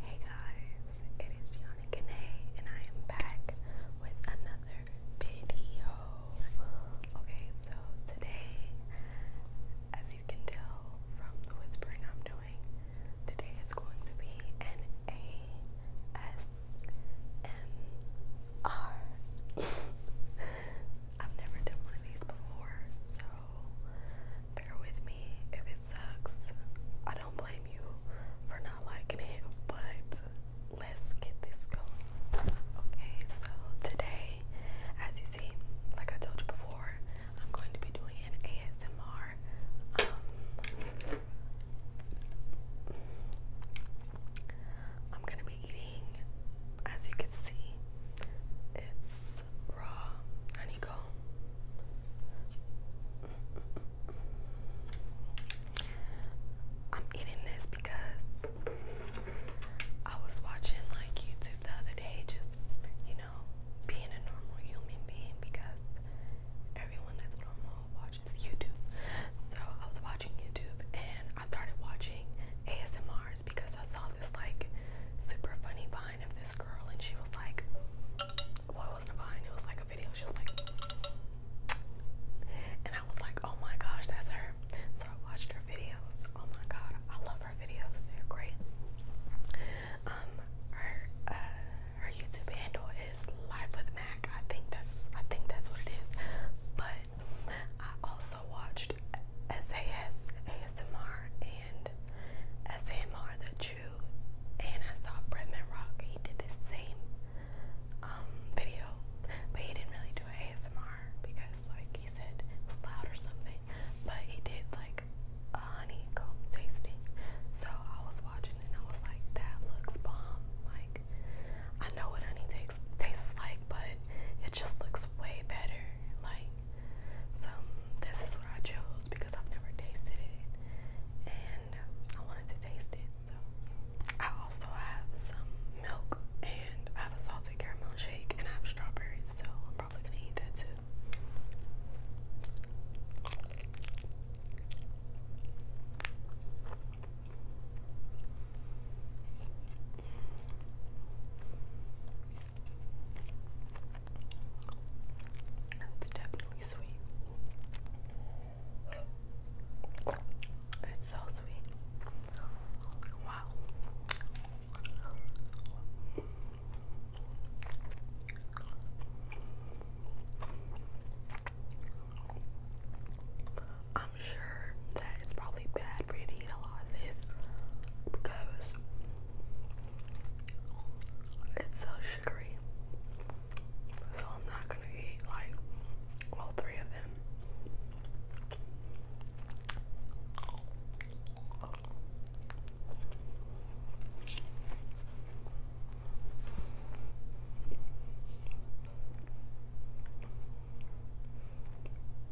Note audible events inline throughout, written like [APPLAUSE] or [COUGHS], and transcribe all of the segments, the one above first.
Hey guys, it is Gianna Kanae and I am back with another video. Okay, so today, as you can tell from the whispering I'm doing, today is going to be an ASMR. have [LAUGHS] never done one of these before, so bear with me if it sucks. I don't blame you for not liking it, but let's get this going. Okay, so today, as you see, like I told you before, I'm going to be doing an ASMR. Um, I'm gonna be eating, as you can see, it's raw honeycomb. I'm eating this because I was watching like YouTube the other day, just you know, being a normal human being because everyone that's normal watches YouTube. So I was watching YouTube and I started watching ASMRs because I saw this like super funny vine of this girl and she was like, well, it wasn't a vine, it was like a video. She was like, and I was like, oh my gosh, that's her. So I watched her videos. Oh my god, I love her videos. They're great. Um, her uh, her YouTube handle is Life with Mac. I think that's I think that's what it is. But I also watched SAS ASMR and and SMR the True, and I saw Bretman Rock. He did the same um, video, but he didn't really do an ASMR because, like he said, it was loud or something. But he did like a honeycomb tasting. So I was watching and I was like, that looks bomb. Like I know what honey takes tastes like, but it just looks way better like so this is what I chose because I've never tasted it and I wanted to taste it so I also have some milk and I have a salted caramel shake and I have strawberries so I'm probably gonna eat that too it's definitely sweet. It's so sweet. Wow. I'm sure that it's probably bad for you to eat a lot of this because it's so sugary. So I'm not gonna eat like all three of them.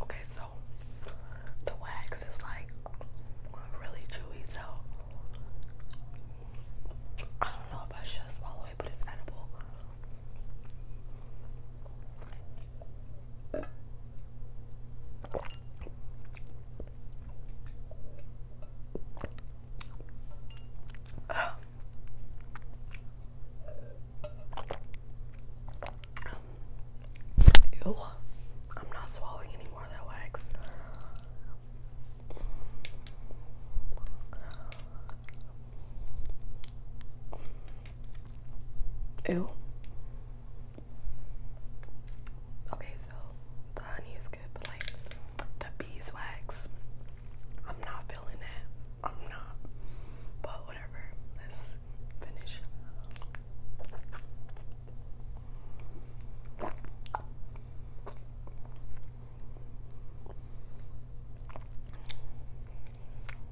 Okay, so the wax is like really chewy, so I don't know if I should swallow it, but it's edible. Ew. I'm not swallowing any that wax. Ew. Okay, so the honey is good, but like the beeswax, I'm not feeling that. I'm not. But whatever. Let's finish.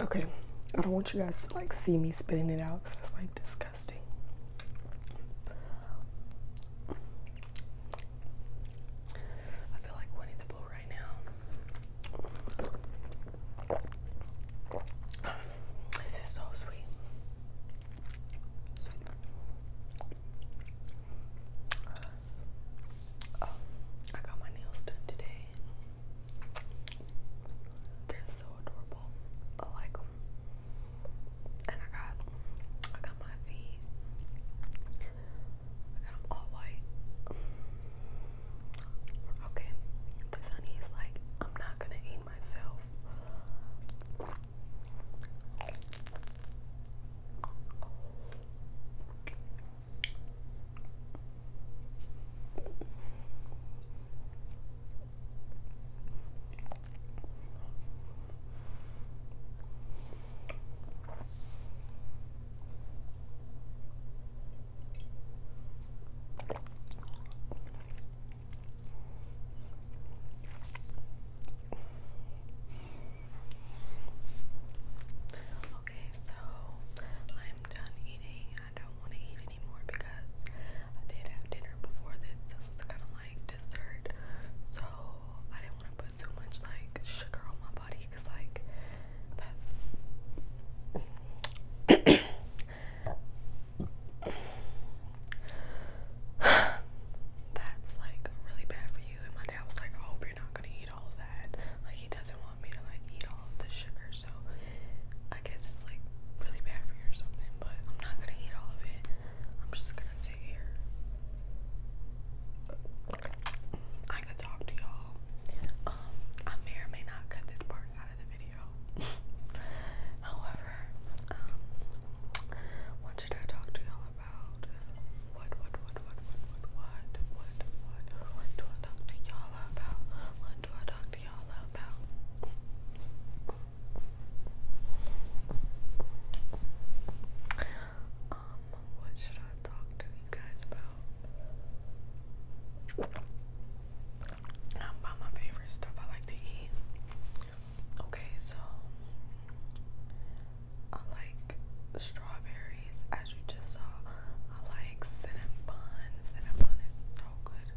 Okay, I don't want you guys to like see me spitting it out because that's like disgusting. I feel like Winnie the Pooh right now. This is so sweet. Oh, I got my nails done today. They're so adorable. I like them. And I got, I got my feet. I got them all white. Okay, this honey is like, I'm not gonna eat myself. Okay, so I'm done eating. I don't want to eat anymore because I did have dinner before this. It was kind of like dessert, so I didn't want to put too much like sugar on my body because like that's. [COUGHS] That's like really bad for you. And my dad was like, I hope you're not gonna he doesn't want me to eat all the sugar, so I guess it's like really bad for you or something, but I'm not gonna eat all of it. I'm just gonna sit here. talk to y'all. Um, I may not cut this part out of the video. [LAUGHS] However, um, what should I talk to y'all about? what, what, what, what, what, what, what, what, what, what do talk to y'all about? What do talk to y'all about? Um, what should I talk to you guys about? about my favorite stuff I like to eat. Okay, so I like strawberries, as you just saw. I like Cinnabon. Cinnabon is so good.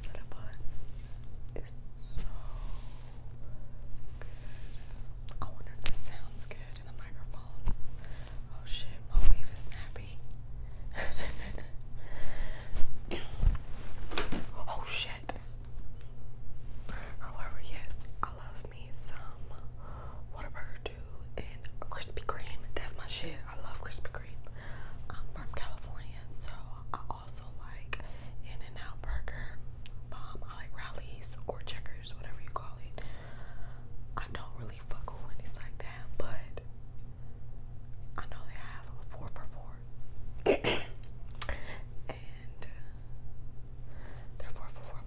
Cinnabon is so good. I wonder if this sounds good in the microphone. Oh shit, my wave is snappy. [LAUGHS] oh shit. However, yes, I love me some Whataburger too and Krispy Kreme. That's my shit. I love Krispy Kreme. I'm from California, so I also like In-N-Out Burger. Um, I like Rallies or Checkers, whatever you call it. I don't really fuck with Wendy's like that, but I know they have four for four. [COUGHS] and uh, their four for four um,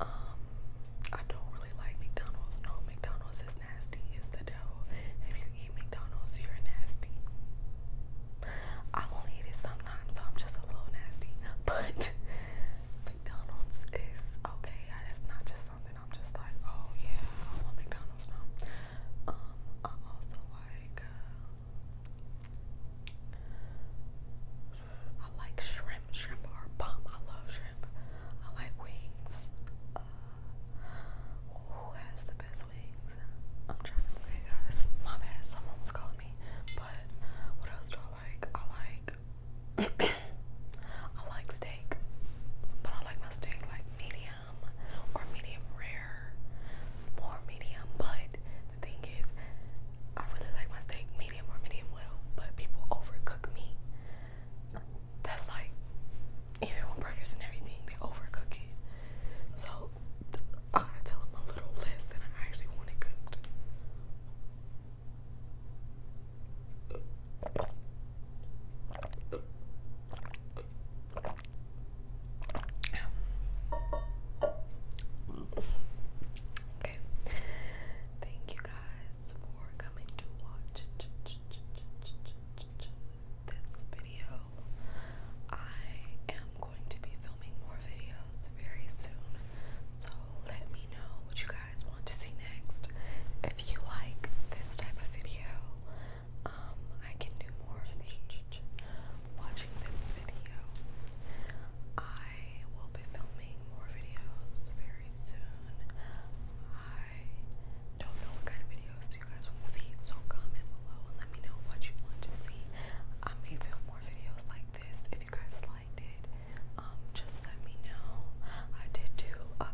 I don't really like McDonald's. No, McDonald's is nasty. It's the devil. If you eat McDonald's, you're nasty. I will eat it sometimes, so I'm just a little nasty. But McDonald's is okay. That's not just something I'm just like, oh yeah, I want McDonald's now. I uh, uh, also like, uh, I like shrimp. Shrimp are bomb. I love shrimp. I like wings. who has the best wings? I'm trying to think. Guys, my bad. Someone calling me. But what else do I like? I like. [CLEARS THROAT] I like steak, but I like my steak like medium or medium rare, more medium. But the thing is, I really like my steak medium or medium well, but people overcook me. That's like, even with burgers and everything, they overcook it. So I gotta tell them a little less than I actually want it cooked. Okay. Thank you guys for coming to watch this video. I am going to be filming more videos very soon. So let me know what you guys guys want to see next. If you like this type of video, um, I can do more of these. Watching this video, I will be filming more videos very soon. I don't know what kind of videos you guys want to see, so comment below and let me know what you want to see. I may film more videos like this if you guys like. Um, just let me know. I did do um,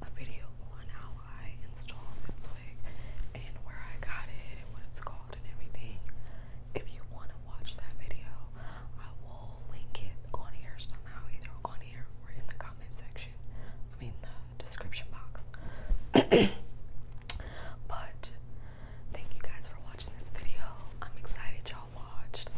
a, video on how I installed this wig and where I got it and what it's called and everything. If you want to watch that video, I will link it on here somehow, either on here or in the comment section. I mean, the description box. [CLEARS THROAT] but thank you guys for watching this video. I'm excited y'all watched.